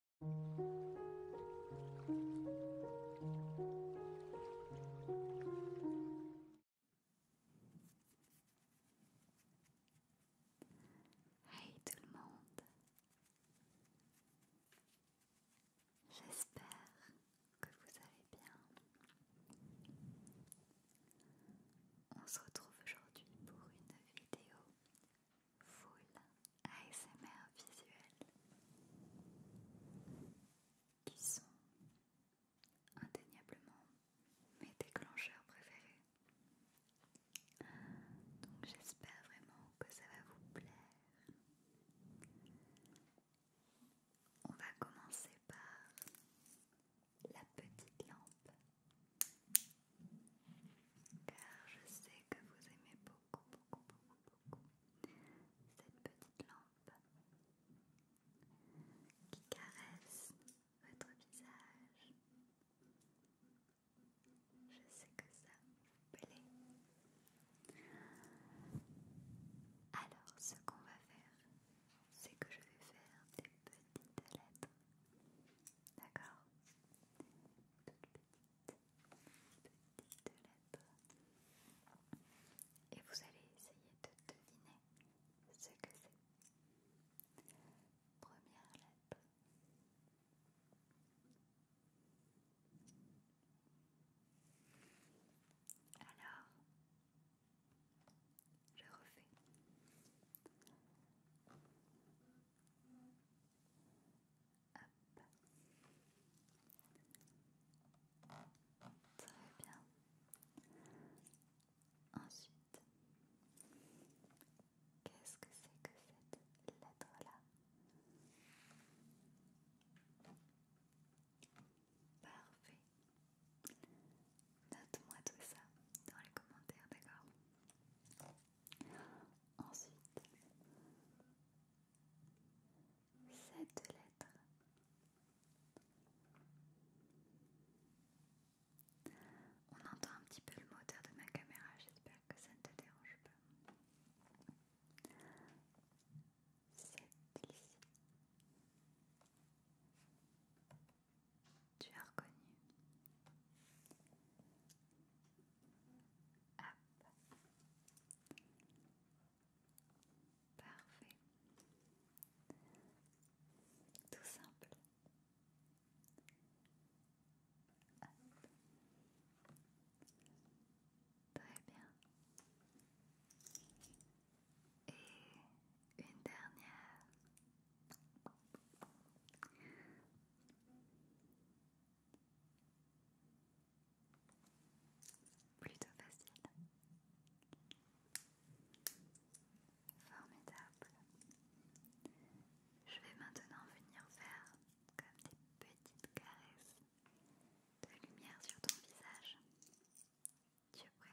Hey tout le monde, j'espère que vous allez bien. On se retrouve aujourd'hui pour une vidéo full ASMR visuel qui sont indéniablement mes déclencheurs préférés. Donc j'espère vraiment que ça va vous plaire. On va commencer par la petite lampe car je sais que vous aimez beaucoup, beaucoup, beaucoup, beaucoup cette petite lampe qui caresse votre visage. Je sais que ça vous plaît. Alors, ce qu'on va faire, c'est que je vais faire des petites lettres. D'accord et vous allez essayer de deviner ce que c'est. Première lettre. Alors, je refais. Très bien. Ensuite, qu'est-ce que c'est que cette lettre-là Parfait. Note-moi tout ça dans les commentaires, d'accord Ensuite, cette lettre. On entend un petit peu le moteur de ma caméra, j'espère que ça ne te dérange pas. c'est ici tu as reconnu. Hop. Parfait. Tout simple. Très bien. Et une dernière. Plutôt facile. Formidable. Je vais maintenant venir faire comme des petites caresses de lumière sur ton visage. Tu es prêt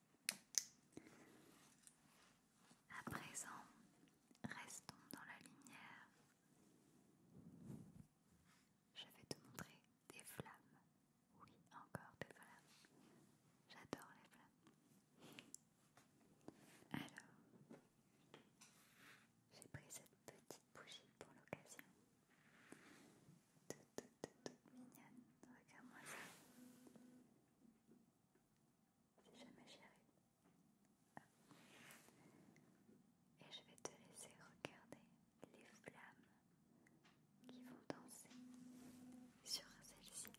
À présent, restons dans la lumière. Je vais te montrer des flammes. Oui, encore des flammes. J'adore les flammes. Alors, j'ai pris cette petite bougie pour l'occasion. toute, toute, mignonne. Regarde-moi ça si jamais Et je vais te laisser regarder les flammes qui vont danser sur celle-ci.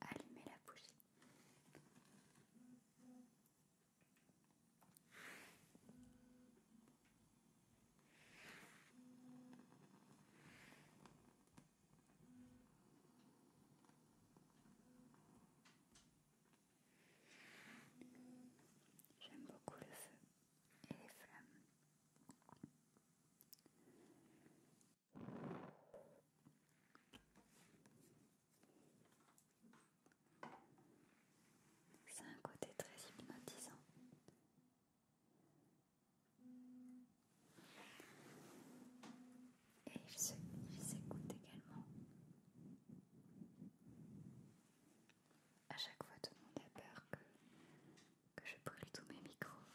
Allumez la bougie. J'aime beaucoup le feu et les flammes. C'est un côté très hypnotisant. Et il s'écoute également. À chaque fois, tout le monde a peur que, que je brûle tous mes micros.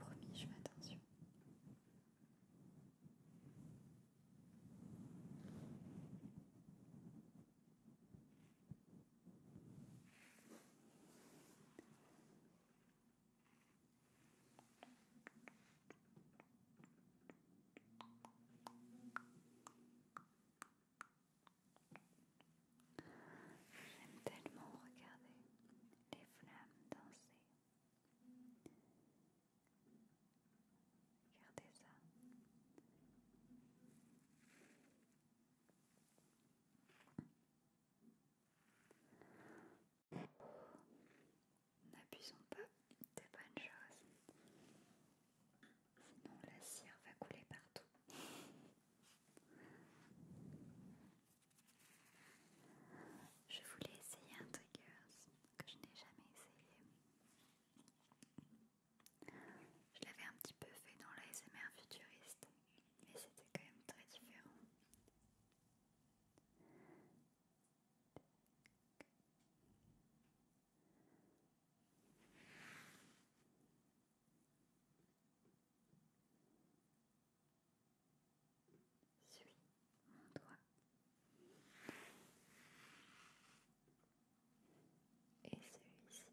Promis, je fais attention. J'aime tellement regarder les flammes danser. Regardez ça. N'abusons pas des bonnes chose. Sinon la cire va couler partout. Je voulais essayer un triggers que je n'ai jamais essayé. Je l'avais un petit peu fait dans l'ASMR futuriste, mais c'était quand même très différent. Suis mon doigt. Et celui-ci.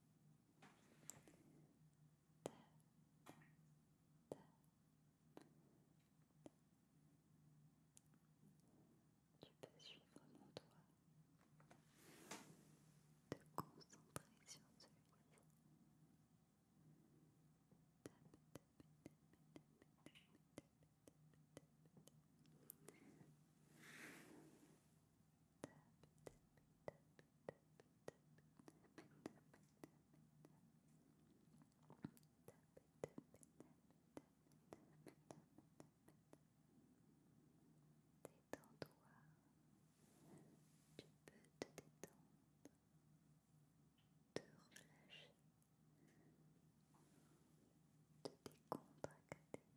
Tu peux suivre mon doigt, te concentrer sur celui-ci. Détends-toi, tu peux te détendre, te relâcher, te décontracter.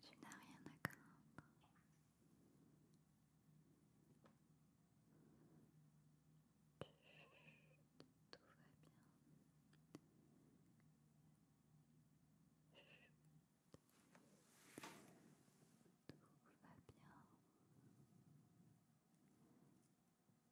Tu n'as rien à craindre. Tout va bien. Tout va bien.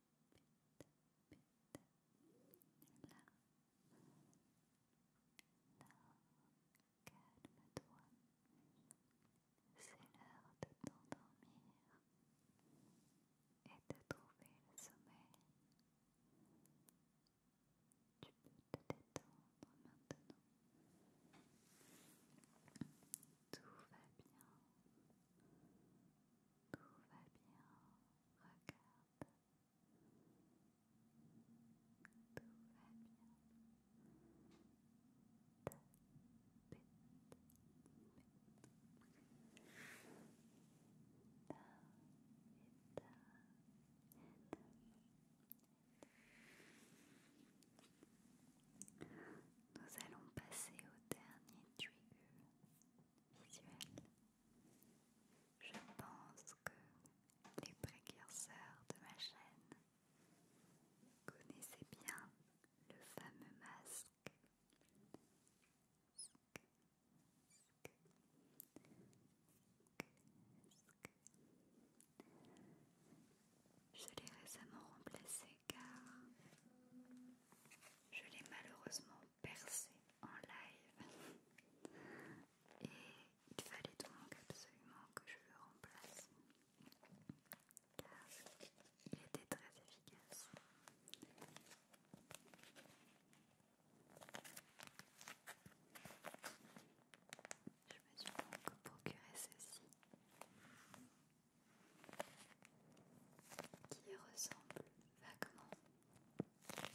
là, là, toi c'est l'heure de t'endormir et de trouver le sommeil. Tu peux te détendre maintenant. Tout va bien. Tout va bien regarde, tout va bien. nous allons passer au dernier tuyau je pense que les précurseurs de ma chaîne connaissaient bien le fameux masque je l'ai récemment remplacé car je l'ai malheureusement percé en live et il fallait donc absolument que je le remplace car il était très efficace. Je me suis donc procuré ceci qui ressemble vaguement mais qui est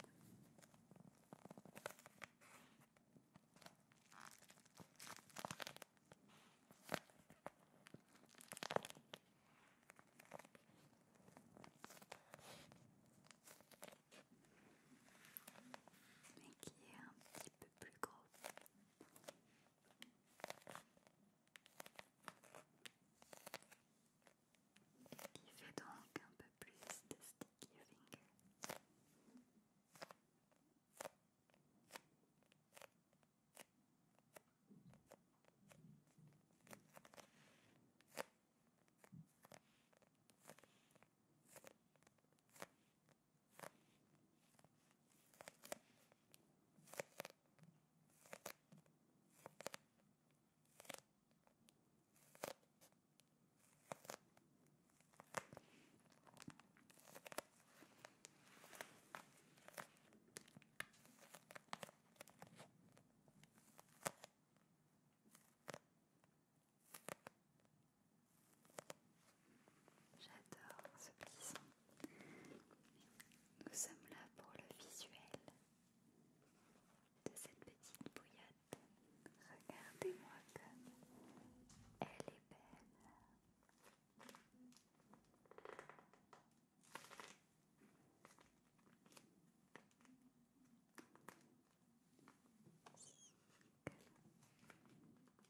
un petit peu plus gros qui fait donc un peu plus de sticky fingers. J'adore ce petit nous sommes là pour le visuel de cette petite bouillotte. Regardez-moi comme elle est belle.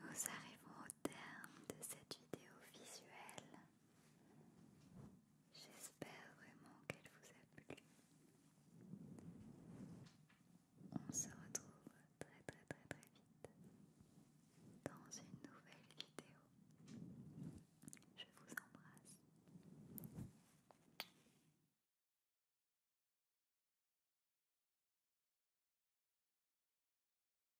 Nous arrivons au terme de cette vidéo visuelle. J'espère vraiment qu'elle vous a plu. On se retrouve très très très très vite dans une nouvelle vidéo. Je vous embrasse.